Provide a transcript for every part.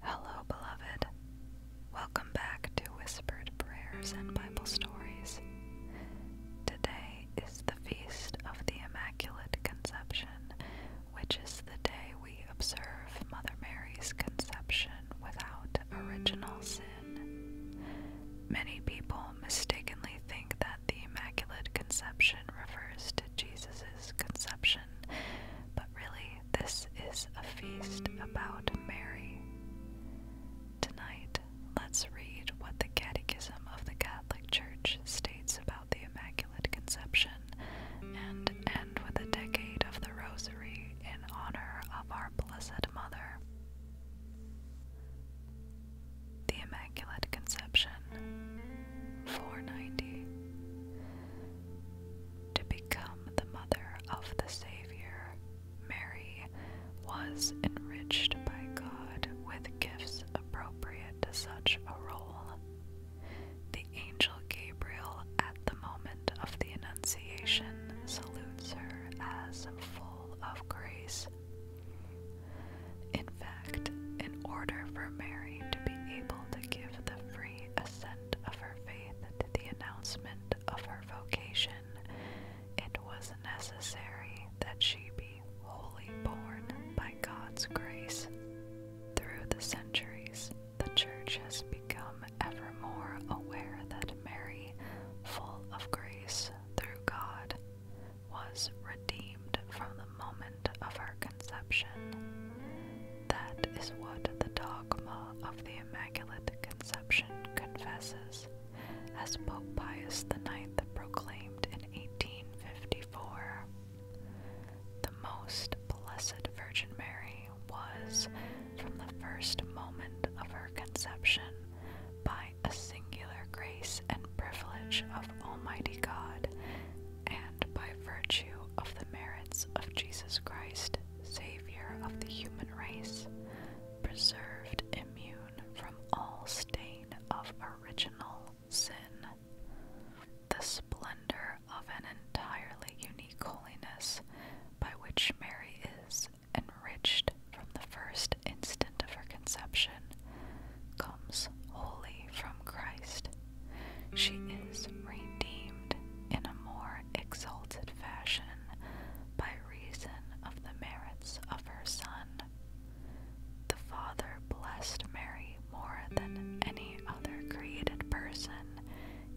Hello, beloved. Welcome back to Whispered Prayers and Bible Stories. Today is the Feast of the Immaculate Conception, which is the day we observe Mother Mary's conception without original sin. Many people mistakenly think that the Immaculate Conception refers to Jesus' conception, but really, this is a feast about Mary. Tonight, let's read what the Catechism of the Catholic Church states about the Immaculate Conception and end with a decade of the Rosary in honor of our Blessed Mother. The Immaculate Conception, 490. To become the mother of the Savior, Mary was enriched by God with gifts appropriate to such a role. The angel Gabriel, at the moment of the Annunciation, salutes her as full of grace in fact, in order for Mary to be able to give the free assent of her faith to the announcement of her vocation, it was necessary that she be wholly born by God's grace. Through the centuries, the Church has become ever more aware that Mary, full of grace, through God, was redeemed from the moment of her conception. That is what the dogma of the Immaculate Conception confesses, as Pope Pius IX proclaimed in 1854. The Most Blessed Virgin Mary was from the first moment of her conception by a singular grace and privilege of Almighty God, and by virtue of the merits of Jesus Christ, Savior of the human race, preserved immune from all stain of original sin. The splendor of an entirely unique holiness by which Mary is enriched from the first instant of her conception, comes wholly from Christ. She is redeemed in a more exalted fashion by reason of the merits of her Son. The Father blessed Mary more than any other created person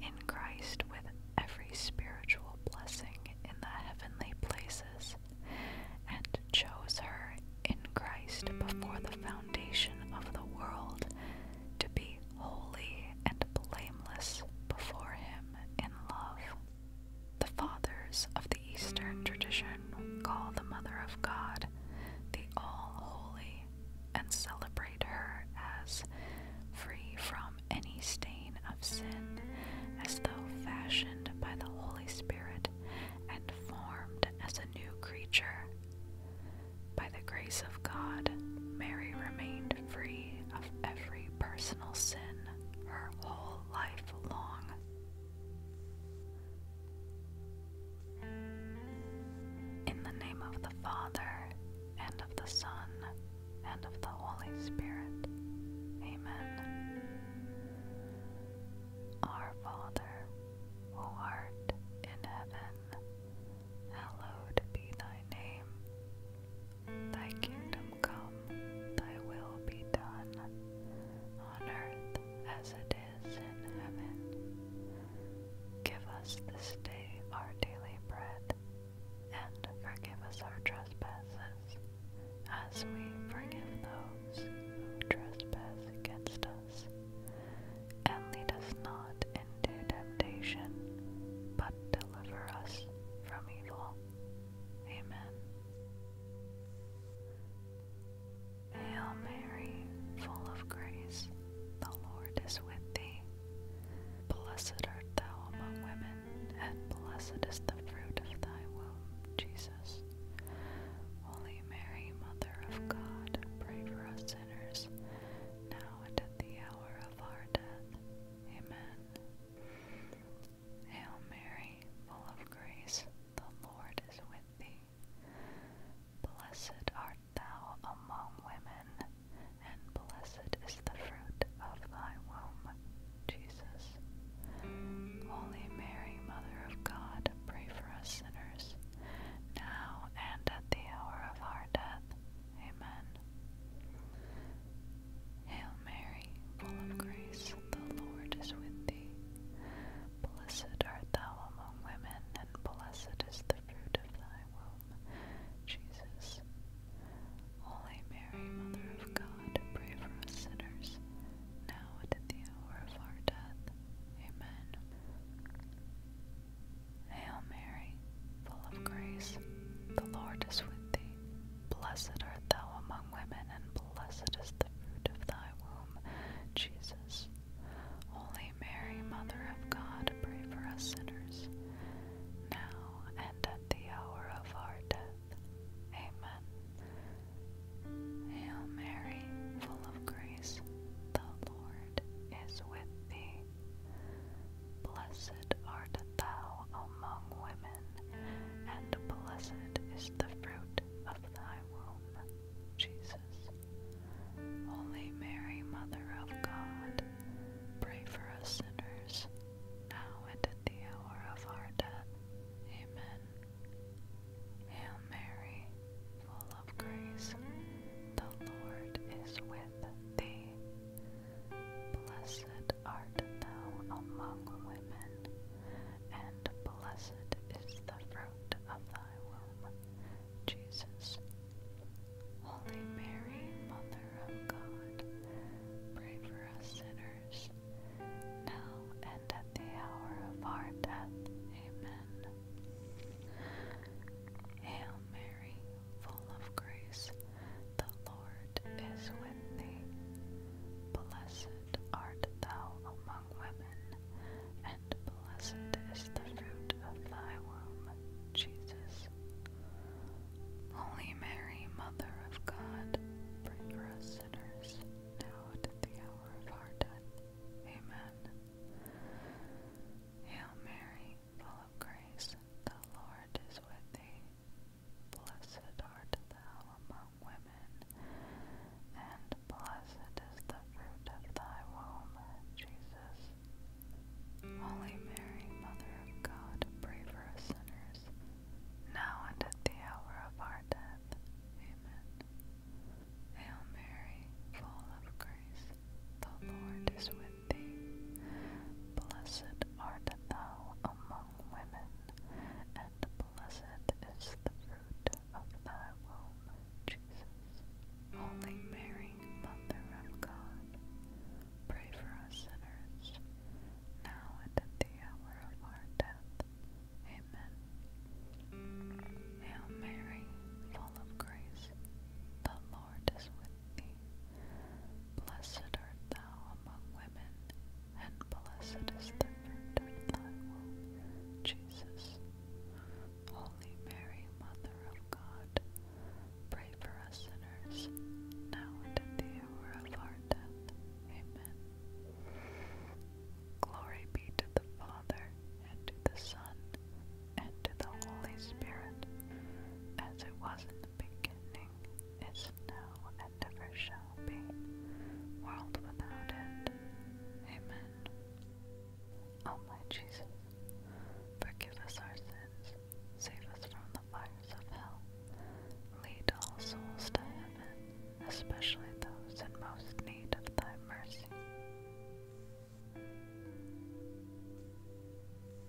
in Christ with every spiritual blessing in the heavenly places, and chose her in Christ before the foundation of the world to be holy and blameless before Him in love. The fathers of the Eastern tradition call the Mother of God the All Holy, and celebrate her as free from any stain of sin, as though fashioned by the Holy Spirit and formed as a new creature. By the grace of God, Mary remained free of every personal sin her whole life long. In the name of the Father, and of the Son, and of the Holy Spirit. Amen. Our Father, who art in heaven, hallowed be thy name. Thy kingdom come, thy will be done, on earth as it is in heaven. Give us this day our daily bread, and forgive us our trespasses, as we forgive those who trespass against us. And lead us not into temptation, but deliver us from evil. Amen. Hail Mary, full of grace, the Lord is with thee. Blessed art thou among women, and blessed is the fruit of thy womb, Jesus. Holy Mary, Mother of God, pray for us sinners, now and at the hour of our death. Amen. Hail Mary, full of grace, the Lord is with thee. Blessed art thou among women, and blessed is the fruit of thy womb, Jesus. Holy Mary, Mother of God, pray for us sinners, now and at the hour of our death. Amen. Hail Mary, full of grace, the Lord is with thee. Blessed art thou among women, and blessed is the fruit of thy womb, Jesus. Holy Mary, Mother of God, pray for us sinners, now and at the hour of our death. Amen. Hail Mary, full of grace, the Lord is with thee. Blessed art thou among women, and blessed is the fruit of thy womb, Jesus. Holy Mary, Mother of God, pray for us sinners, now and at the hour of our death. Amen. Hail Mary, full of grace, the Lord is with thee. Blessed art thou among women, and blessed is the fruit of thy womb, Jesus. Holy Mary, Mother of God, pray for us sinners, now and at the hour of our death. Amen. Hail Mary, full of grace, the Lord is with thee. Blessed art thou among women, and blessed is the fruit of thy womb, Jesus. Holy Mary, Mother of God, pray for us sinners, now and at the hour of our death. Amen. Hail Mary, full of grace, the Lord is with Blessed art thou among women, and blessed is the fruit of thy womb, Jesus. Holy Mary, Mother of God, pray for us sinners, now and at the hour of our death. Amen. Hail Mary, full of grace, the Lord is with thee. Blessed art thou among women, and blessed is the fruit of thy womb, Jesus. Holy Mary, Mother of God, pray for us sinners, now and at the hour of our death. Amen. Hail Mary, full of grace, the Lord is with thee. Blessed art thou among women, and blessed is the fruit of thy womb, Jesus. Holy mm. Mary, Mother of God, pray for us sinners, now and at the hour of our death. Amen. Hail Mary, full of grace, the Lord is with thee. Blessed art thou among women, and blessed is the fruit of thy womb, Jesus. Holy Mary, Mother of God, pray for us sinners, now and at the hour of our death. Amen. Glory be to the Father, and to the Son, and to the Holy Spirit, as it was in the beginning it is is now and ever shall be, world without end. Amen. O Jesus, forgive us our sins, save us from the fires of hell, lead all souls to heaven, especially those in most need of thy mercy.